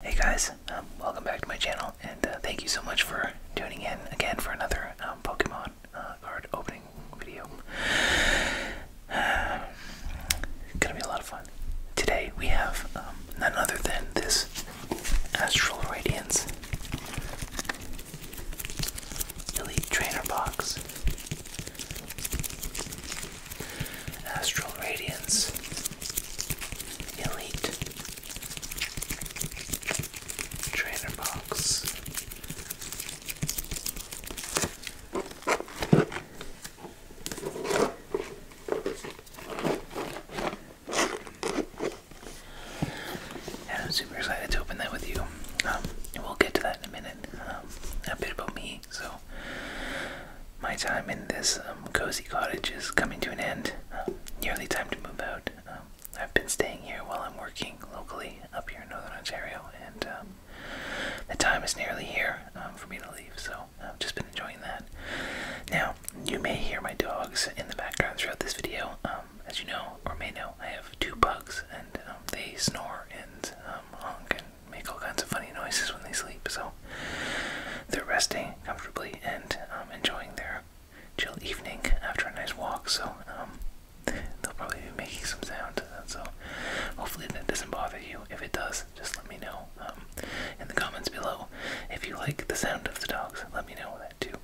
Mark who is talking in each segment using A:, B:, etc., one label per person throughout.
A: Hey guys, um, welcome back to my channel, and uh, thank you so much for tuning in again for another um, Pokemon uh, card opening video. gonna be a lot of fun. Today we have um, none other than this Astral Radiance Elite Trainer Box. Astral Radiance, Elite, Trainer Box, I'm super excited to open that with you. Um, we'll get to that in a minute. Um, a bit about me. So, my time in this um, cozy cottage is coming to an end. nearly time to move out. Um, I've been staying here while I'm working locally up here in Northern Ontario, and um, the time is nearly here for me to leave, so I've just been enjoying that. Now, you may hear my dogs in the background throughout this video. as you know, or may know, I have two pugs, and they snore and honk and make all kinds of funny noises when they sleep, so they're resting comfortably and um, enjoying their chill evening after a nice walk, so um, they'll probably be making some sound. So hopefully that doesn't bother you. If it does, just let me know um, in the comments below. If you like the sound of the dogs, let me know that too.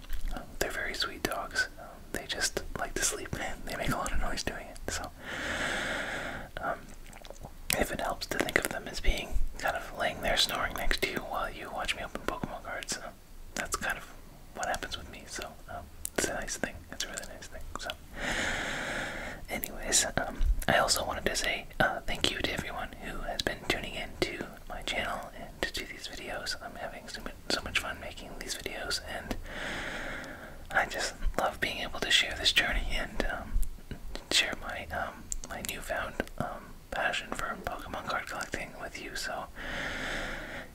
A: they're very sweet dogs. they just like to sleep and they make a lot of noise doing it. So um, if it helps to think of them as being kind of laying there snoring next to you while you watch me open Pokemon cards, that's kind of what happens with me. So um, it's a nice thing. It's a really nice thing. So, anyways, um, I also wanted to say uh, thank you to everyone who has been tuning in to my channel and to these videos. I'm having so much, fun making these videos, and I just love being able to share this journey and share my um my newfound um passion for Pokemon card collecting with you. So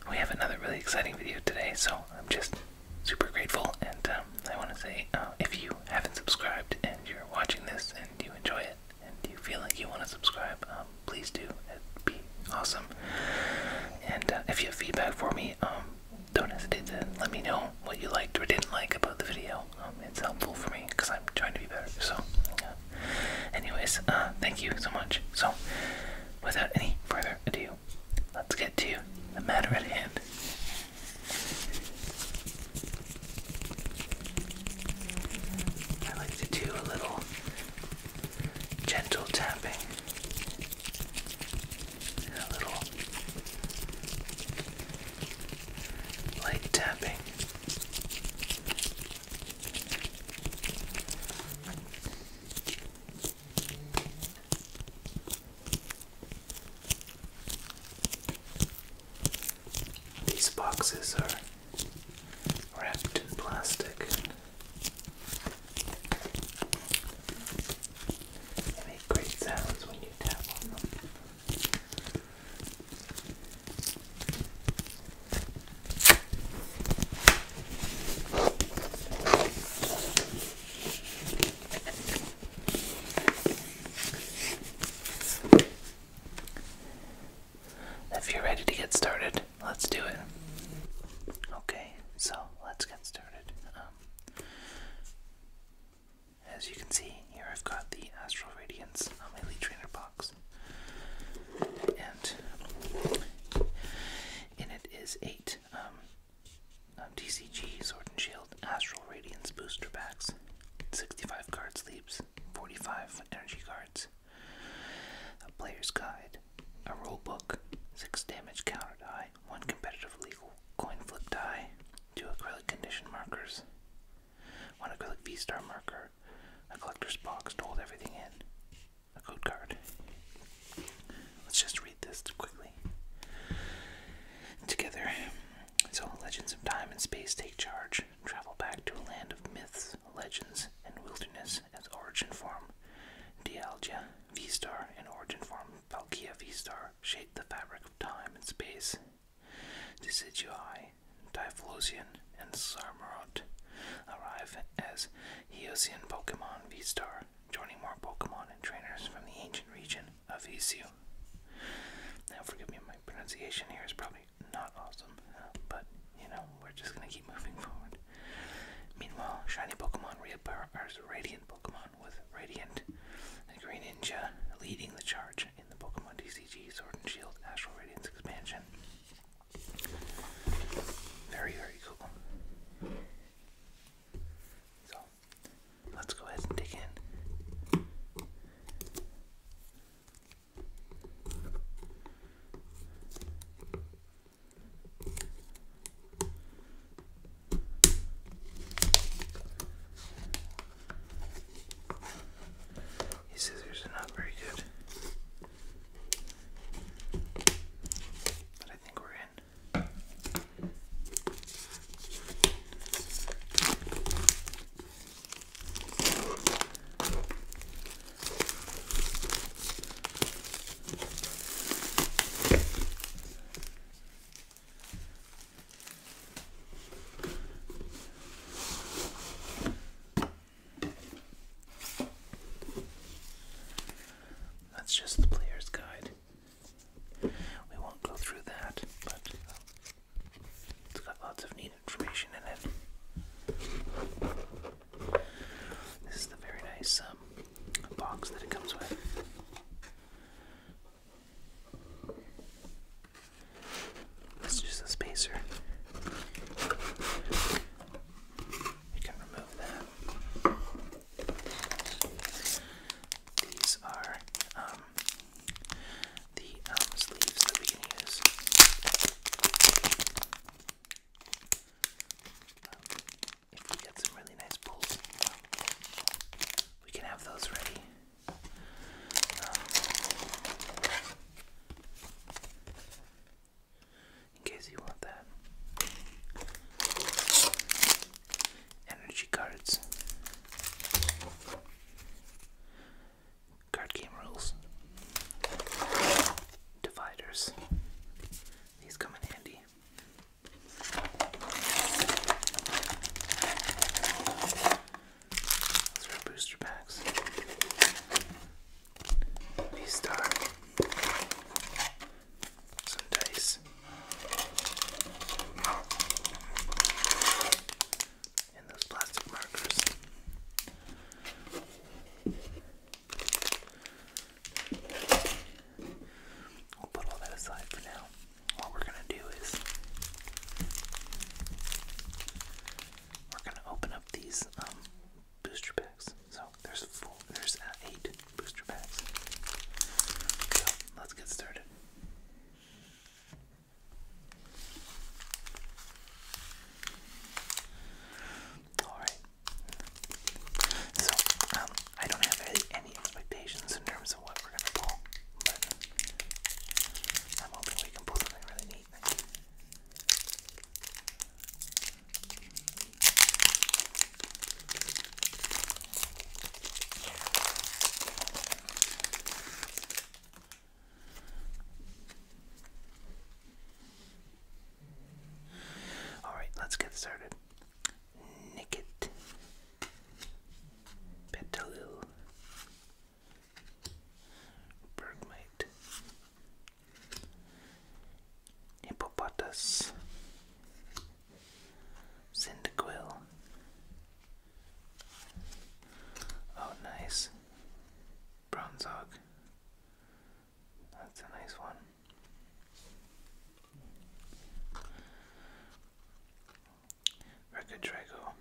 A: we have another really exciting video today. So I'm just super grateful, and um, I want to say uh, if you haven't subscribed and you're watching this and you enjoy it and you feel like you want to subscribe, um, please do. It'd be awesome. And uh, if you have feedback for me, um, don't hesitate to let me know what you liked or didn't like about the video. Um, it's helpful for me because I'm trying to be better. So, anyways, uh, thank you so much. So, without any further ado, let's get to the matter at hand. I like to do a little gentle tapping, a little light tapping. These boxes are wrapped in plastic. They make great sounds when you tap on them. If you're ready to get started, let's do it. Okay, so let's get started. Um, as you can see, here I've got the Astral Radiance Amelie Trainer box. And in it is eight um, um DCG Sword and Shield Astral Radiance booster packs, 65 card sleeves, 45 energy cards, a player's guide, a rule book, 6 damage counter die, 1 competitive legal coin flip die, two acrylic condition markers, one acrylic V-Star marker, a collector's box to hold everything in, a code card. Let's just read this quickly. Together, so legends of time and space take charge, travel back to a land of myths, legends, and wilderness as origin form. Dialgia, V-Star, and origin form Palkia V-Star, the fabric of time and space. Decidui, Typhlosion, and Sarmarot arrive as Eocene Pokemon V-Star, joining more Pokemon and trainers from the ancient region of Isiu. Now, forgive me, my pronunciation here is probably not awesome, but you know, we're just gonna keep moving forward. Meanwhile, shiny Pokemon reappear as radiant Pokemon with Radiant the Green Ninja leading the charge in the Pokemon TCG Sword and Shield Astral Radiance expansion. Very, very cool. So, let's go ahead and dig in. These scissors are not very good. But I think we're in. That's just the player's guide. We won't go through that, but um, it's got lots of neat information in it. This is the very nice um, box that it comes with. Let's a spacer. We can remove that. These are um, the um, sleeves that we can use. Um, if we get some really nice pulls, we can have those ready. Um, in case you want that. Energy cards. Card game rules. Dividers. These come in handy. Throw booster packs. V Star. Some dice. And those plastic markers. We'll put all that aside for now. What we're going to do is we're going to open up these um, booster packs. So there's there's uh, eight booster packs. let's get started. All right, so, um, I don't have any expectations in terms of what we're gonna pull, but I'm hoping we can pull something really neat. Alright, let's get started. Nicket Petaloo Bergmite Hippopotas Cyndaquil Oh nice Bronzog that's a nice one. Record Drago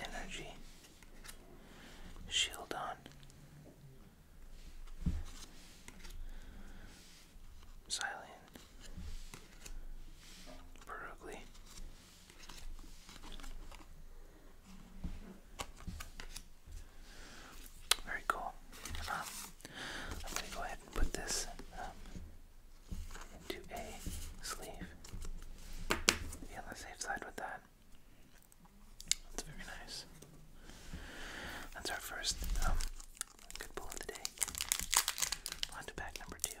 A: Energy Shield on Silent Perugly very cool. Um, I'm going to go ahead and put this um, a sleeve. Be on the safe side with that. That's very nice. That's our first um, good pull of the day. On to pack number two.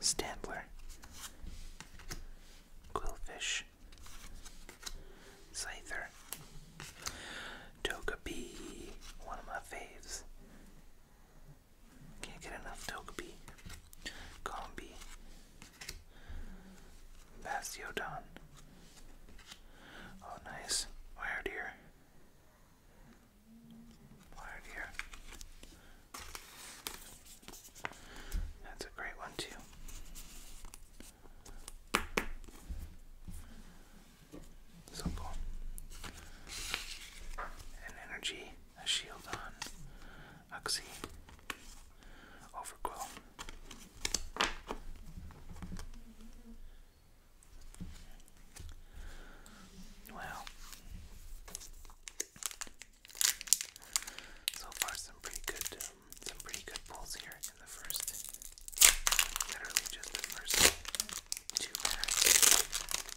A: Stambler, Quillfish, Scyther, Togepi, one of my faves, can't get enough Togepi, Combi, Bastiodon. Oh, nice. Wire deer. That's a great one, too. Simple. An energy, a shield on, oxy, overquill. Wow. So far, some pretty good, um, some pretty good pulls here in the first, literally just the first two packs.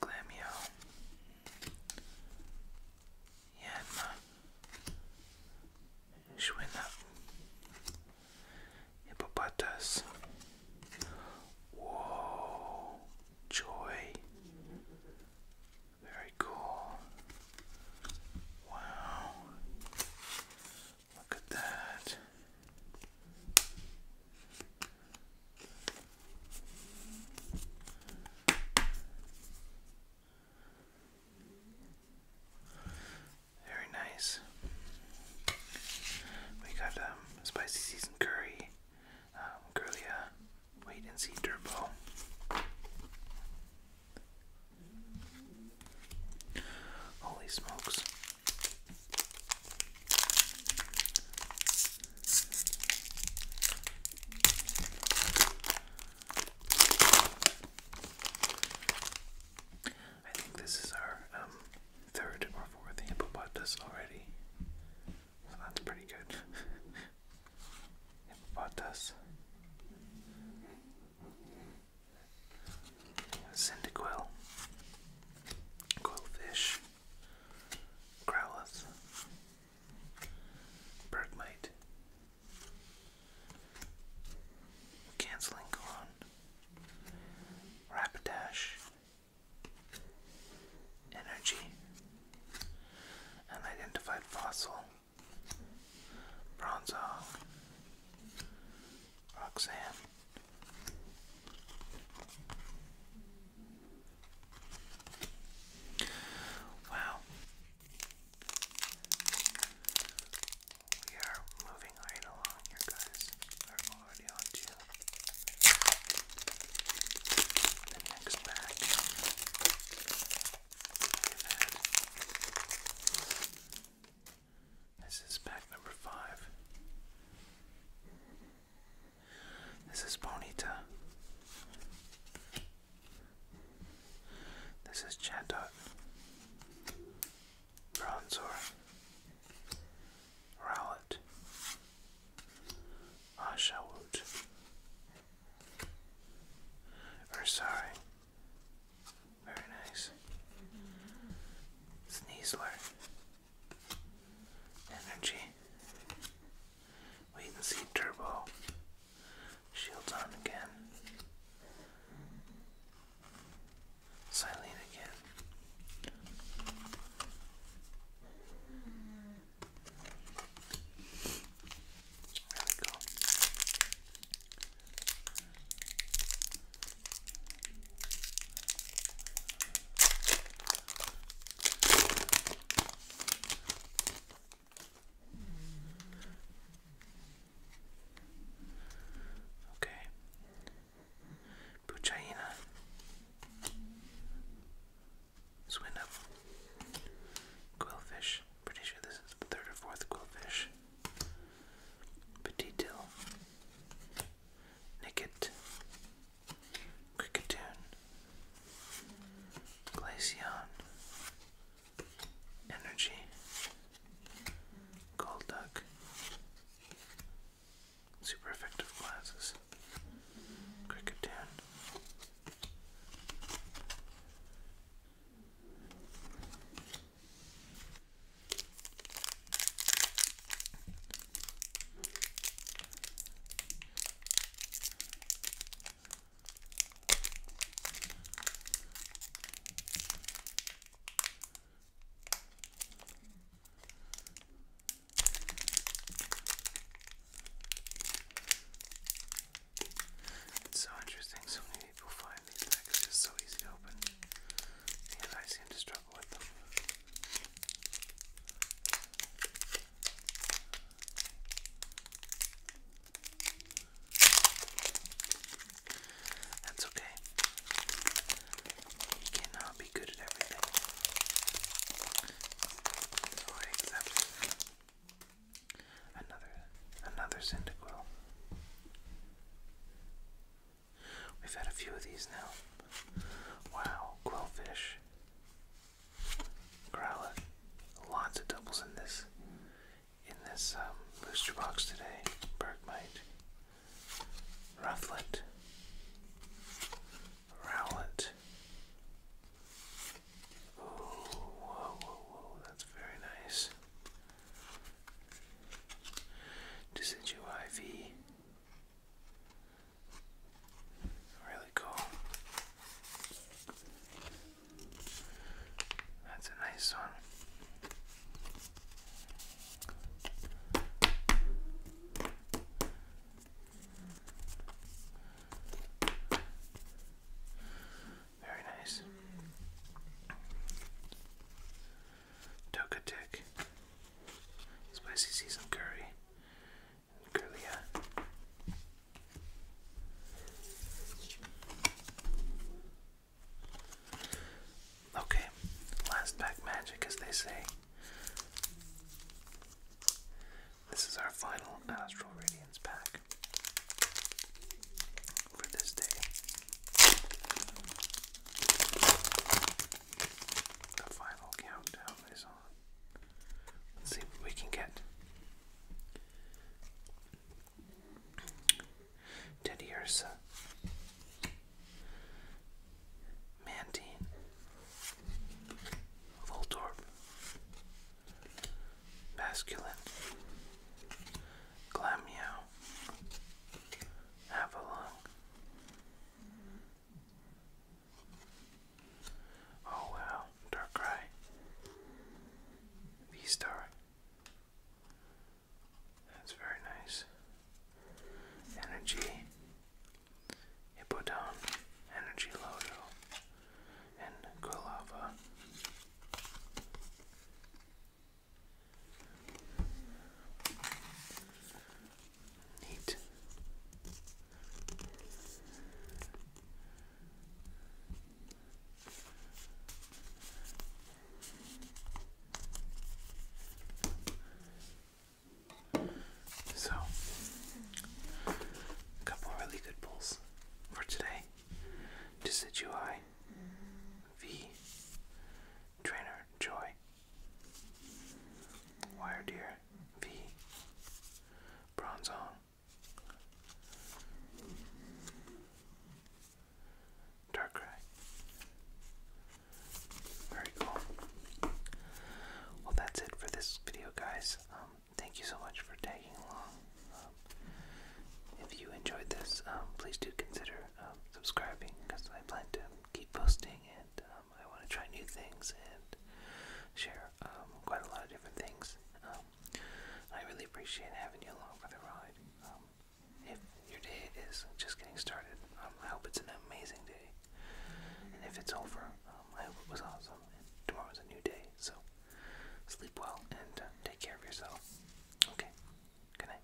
A: Glamio, Yanma, Shwinna, Hippopotas, Whoa, Joy, very cool. Wow, look at that. Very nice. We got um, spicy seasoned curry, um, uh, wait and see turbo. Holy smokes. I think this is our um, third or fourth hippopotamus already. So that's pretty good. hippopotamus. Cyndaquil. Quillfish. Growlithe, Bergmite, Canceling Gone, Rapidash, Energy, Unidentified Fossil, Bronzong, Roxanne, Wow. We are moving right along here, guys. We're already on to the next bag. This is pack number five. This is Bonita. This is Chatot. Bronzor. Rowlet. Ashawoot. Ursari. Very nice. Sneasler. Energy. Wait and see turbo. Shields on again. Silene again. There we go. Okay. Puchaina. Swindup. Quillfish. Pretty sure this is the third or fourth quillfish. Petite Nicket. Cricketune, Glaceon, Energy, Gold Super Effective Glasses, Cricketune. It's so interesting, so many people find these packages so easy to open, and I seem to struggle with them. That's okay. You cannot be good at everything. another another Cyndaquil. We've had a few of these now. Wow, quillfish. Growlithe. Lots of doubles in this in this um, booster box today. Bergmite. Rufflet. Rowlet. whoa, whoa, whoa, that's very nice. Decidu IV. Really cool. That's a nice one. Very nice. Tokatik, spicy season curry, and Okay, last pack magic, as they say. This is our final Astral Radiance pack for this day. The final countdown is on. Let's see what we can get. Teddy Mantine. Voltorb. Masculine. Glammeow. Avalon. Oh wow, dark gray. These That's very nice. Energy. Hippodone. Energy Lodo. And Quilava. Neat. So, a couple really good pulls for today. To Decidui, V, Trainer Joy, Wire Deer V Bronzong Darkrai. Very cool. Well, that's it for this video, guys. Um, thank you so much for tagging along. Um, if you enjoyed this, um, please do consider subscribing because I plan to keep posting, and um, I want to try new things and share um, quite a lot of different things. Um, I really appreciate having you along for the ride. if your day is just getting started, I hope it's an amazing day. And if it's over, I hope it was awesome. And tomorrow is a new day, so sleep well and uh, take care of yourself. Okay, good